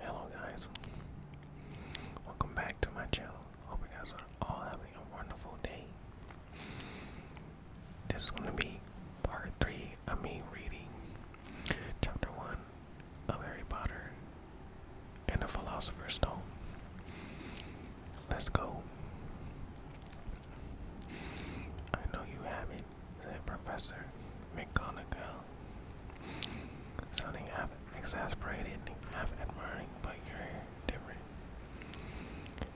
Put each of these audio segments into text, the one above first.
Hello guys, welcome back to my channel. Hope you guys are all having a wonderful day. This is gonna be part three of me reading chapter one of Harry Potter and the Philosopher's Stone. Let's go. I know you haven't said Professor McGonagall. Sounding half exasperated, half admiring, but you're different.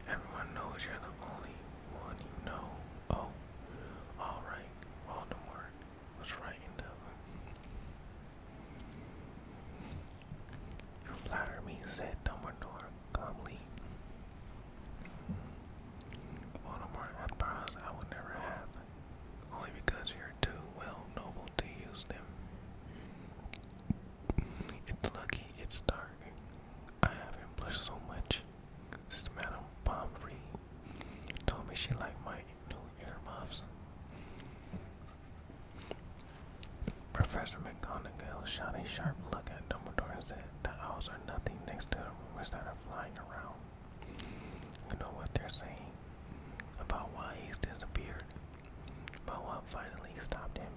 Everyone knows you're the only one you know. Oh, all right, Voldemort was right enough. You flatter me, said Dumbledore calmly. Voldemort had powers I would never have, only because you're too well noble to use them. It's lucky it's dark. I haven't blushed so much since Madame Pomfrey told me she liked my new earmuffs. Professor McGonagall shot a sharp look at Dumbledore head. The owls are nothing next to the rumors that are flying around. You know what they're saying about why he's disappeared, but what finally stopped him.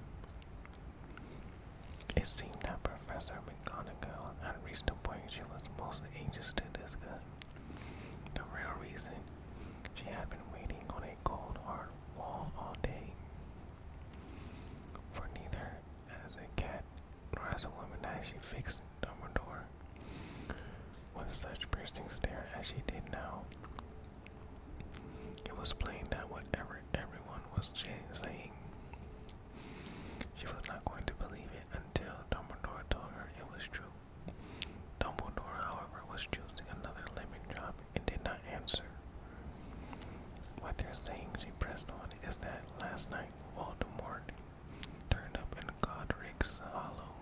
It seemed that Professor McGonagall had reached the point she was most anxious to discuss. The real reason she had been waiting on a cold, hard wall all day. For neither as a cat or as a woman actually fixed Dumbledore with such piercing stare as she did now. It was plain that whatever everyone was saying, she was not going to believe it until Dumbledore told her it was true. Dumbledore, however, was choosing another lemon job and did not answer. What they're saying, she pressed on, is that last night Voldemort turned up in Godric's Hollow.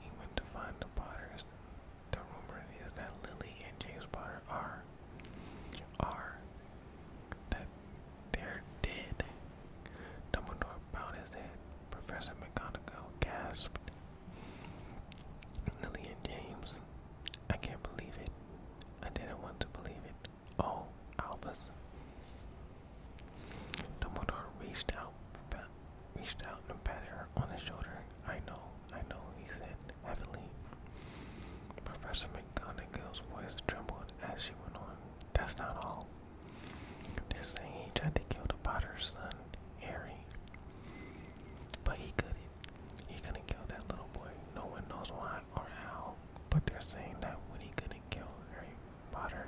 He went to find the Potters. The rumor is that Lily and James Potter are, are, that they're dead. Dumbledore bowed his head. Professor McGonagall gasped. Lily and James, I can't believe it. I didn't want to believe it. Oh, Albus. Dumbledore reached out, reached out and patted her on the shoulder. I know, I know, he said heavily. Professor McGonagall's voice trembled as she went on. That's not all. They're saying he tried to kill the Potter's son, Harry. But he couldn't. He couldn't kill that little boy. No one knows why or how, but they're saying that Woody couldn't kill Harry Potter.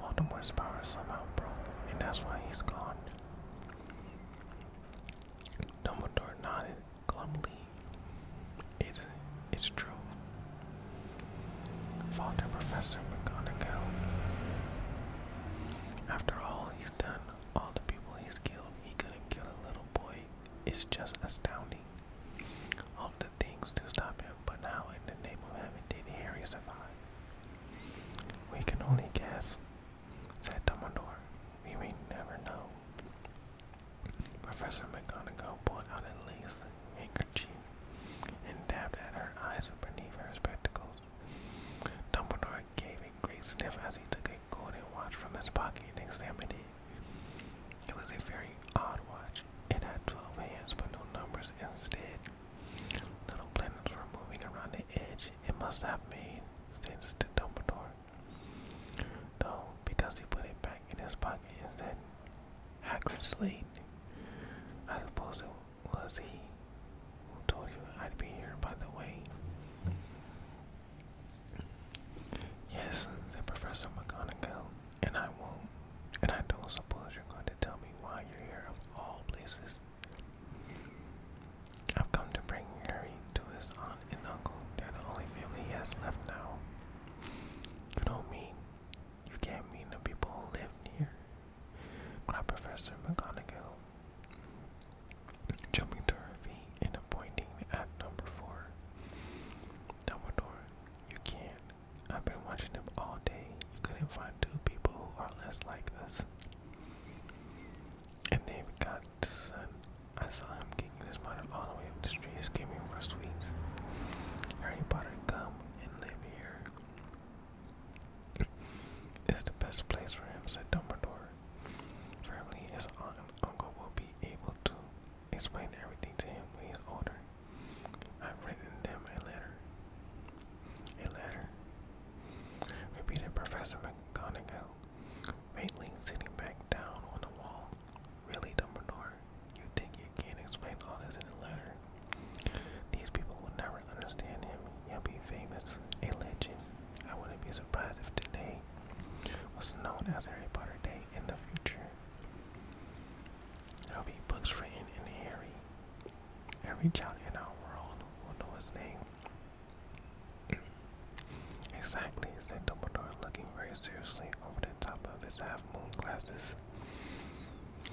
Voldemort's power somehow broke, and that's why he's gone. Dumbledore nodded glumly. It's, it's true. Faltered Professor McGonagall. After all he's done, all the people he's killed, he couldn't kill a little boy it's just astounding. Of the things to stop him, but how in the name of heaven did Harry survive? We can only guess, said Dumbledore. We may never know. Professor McGonagall pulled out a lace handkerchief and dabbed at her eyes beneath her spectacles. Dumbledore gave a great sniff as he took classic golden watch from his pocket and examined it. It was a very odd watch. It had 12 hands but no numbers instead. Little planets were moving around the edge it must have been sense to Dumbledore. Though, because he put it back in his pocket and said, Hagrid Slade, I suppose it was he who told you I'd be here by the way. Yes, said Professor McGonagall, and I won't. And I don't suppose you're going to tell me why you're here of all places. I've come to bring Harry to his aunt and uncle. they the only family he has left now. You don't mean you can't mean the people who live near. Cried Professor McGonagall, jumping to her feet and pointing at number four. Dumbledore, you can't. I've been watching them all day. You couldn't find two people who are less like us. And they've got the son. I saw him kicking his mother all the way up the street, screaming for sweets. Harry Potter, come and live here. It's the best place for him, said Dumbledore. Family, his aunt and uncle will be able to Explain everything to him when he's older. I've written them a letter. A letter? repeated Professor McGonagall, faintly sitting back down on the wall. Really, Dumbledore, you think you can explain all this in a letter? These people will never understand him. He'll be famous, a legend. I wouldn't be surprised if today what's known as Harry Potter Day in the future. There'll be books written in Harry. Every child in our world will know his name. exactly, said Dumbledore, looking very seriously over the top of his half-moon glasses. It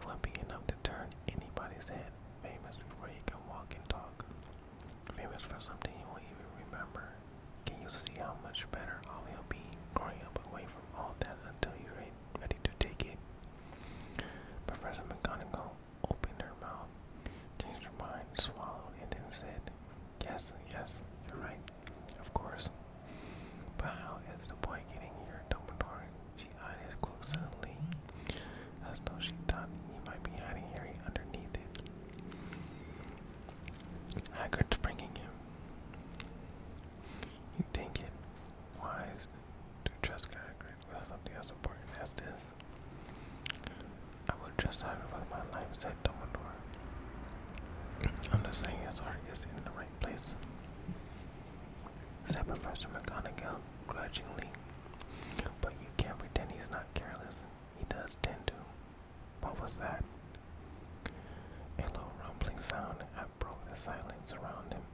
will not be enough to turn anybody's head famous before he can walk and talk. Famous for something you won't even remember. Can you see how much better I will be growing up away from all that until you're ready to take it? Professor McGonagall opened her mouth, changed her mind, swallowed, and then said, Yes, yes, you're right, of course. But how is the boy getting here, Dumbledore? She eyed his cloak as though she thought he might be hiding here underneath it. Haggard's bringing him. You think it wise to trust Haggard with something as important as this? I will trust Haggard with my life, said Dumbledore. I'm just saying his heart is in the right place, said Professor McGonagall grudgingly. But you can't pretend he's not careless. He does tend to. What was that? A low rumbling sound had broke the silence around him.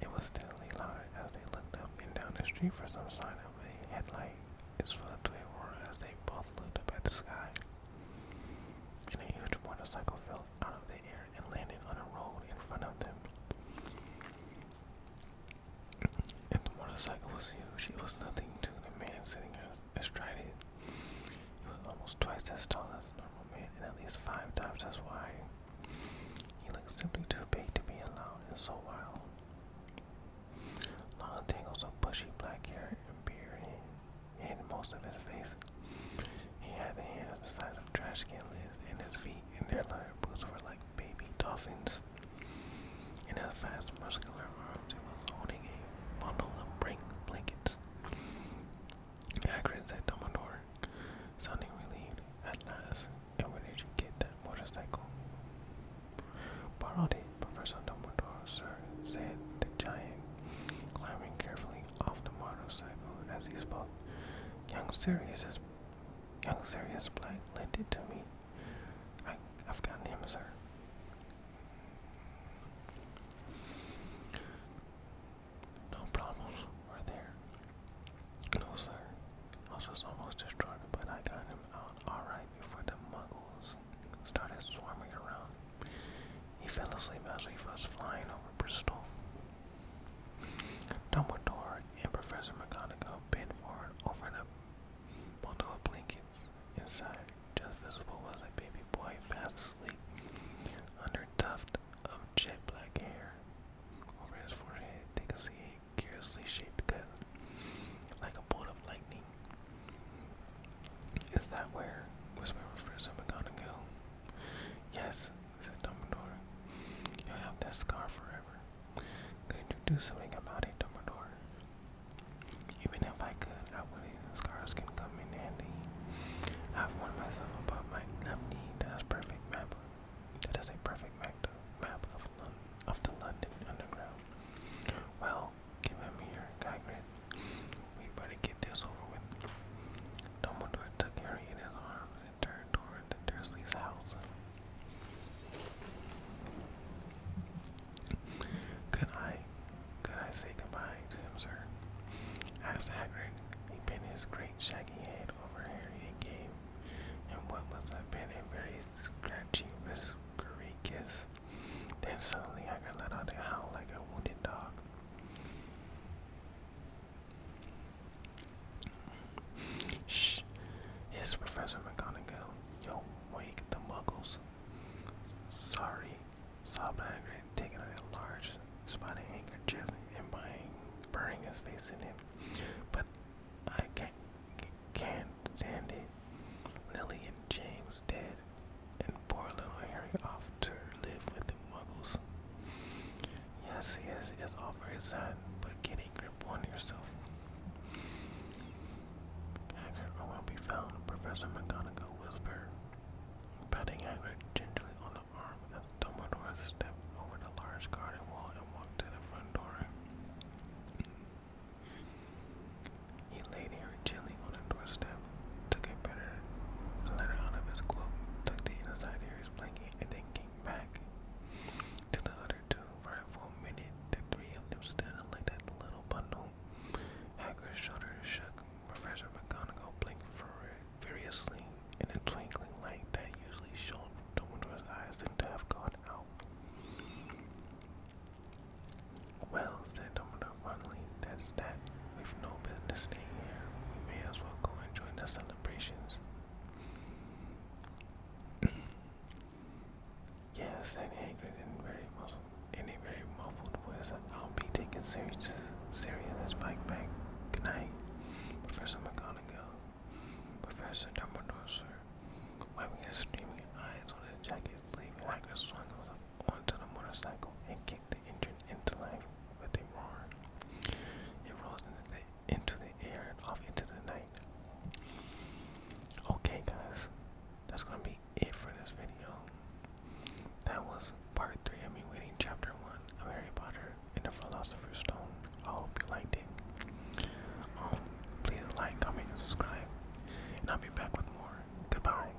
It was steadily louder as they looked up and down the street for some sign of a headlight. Its filled to a roar as they both looked up at the sky. And a huge motorcycle fell out of the air and landed on a road in front of them. And the motorcycle was huge. It was nothing to the man sitting astrides. was almost twice as tall as a normal man and at least five times as wide. He looked simply too big to be allowed in so wild. Long tangles of bushy black hair and beard hid most of his face. He had hands the size of trash can lids, and his feet and their leather boots were like baby dolphins. In his vast, muscular arms, he was holding a bundle of brink blankets. Hagrid said sounding relieved. At last, and where did you get that motorcycle? Borrowed it, Professor Dumbledore, sir, said the giant, climbing carefully off the motorcycle as he spoke. Young Sirius Young Sirius Black lent it to me. I, I've got him, sir. No problems were there. No, sir. I was almost destroyed, but I got him out alright before the muggles started swarming around. He fell asleep as he was flying over Bristol. Dumbledore and Professor McGonagall bent forward over the bundle of blankets inside just visible was a baby boy fast asleep under a tuft of jet black hair. Over his forehead, they could see a curiously shaped cut, like a bolt of lightning. Is that where Whisper refers to McGonagall? Yes, said Dumbledore. You'll have that scar forever. Could you do something about it, Dumbledore? Even if I could, I wouldn't. Scars can come in handy. I've warned myself about my nephew. That's perfect map. That is a perfect map of London, the London Underground. Well, give him here, Gagrid. We better get this over with. Dumbledore took Harry in his arms and turned toward the Dursley's house. Could I, could I say goodbye to him, sir? Asked Hagrid. He bent his great shaggy head over here and gave him what was a bit a very scratchy, whiskery kiss. Then suddenly Hagrid let out a howl like a wounded dog. Shh! It's Professor McGonagall. Yo, wake the muggles. Sorry, Sobnagri taking a large spotted handkerchief and buying, burying his face in it. But I can't, can't stand it. Lily and James dead, and poor little Harry off to live with the muggles. Yes, yes, it's all very sad, but get a grip on yourself. Haggard will be found, Professor McGonagall whispered, patting Haggard gingerly on the arm Dumbledore stepped over the large garden wall and walked to the front door. He laid Harry gently on the doorstep, took a better letter out of his cloak, tucked it inside Harry's blanket, and then came back to the other two. For a full minute, the three of them stood and looked little bundle. Hagrid's shoulders shook. Professor McGonagall blinked furiously, and a twinkling light that usually shone from his eyes seemed to have gone out. Well, said Dumbledore finally, that's that. We've no business staying here. We may as well go and join the celebrations. Yes, that angry and very muffled, in a very muffled voice. Uh, I'll be taking serious, serious as Mike Bank. Good night, Professor McGonagall. Professor Dumbledore, sir. Wiping his streaming eyes on his jacket sleeve, Hagrid swung onto the motorcycle and kicked the engine into life with a roar. It rose into the, into the air and off into the night. Okay, guys, that's gonna be be for this video. That was part three of me reading chapter one of Harry Potter and the Philosopher's Stone. I hope you liked it. Um, please like, comment, and subscribe, and I'll be back with more. Goodbye.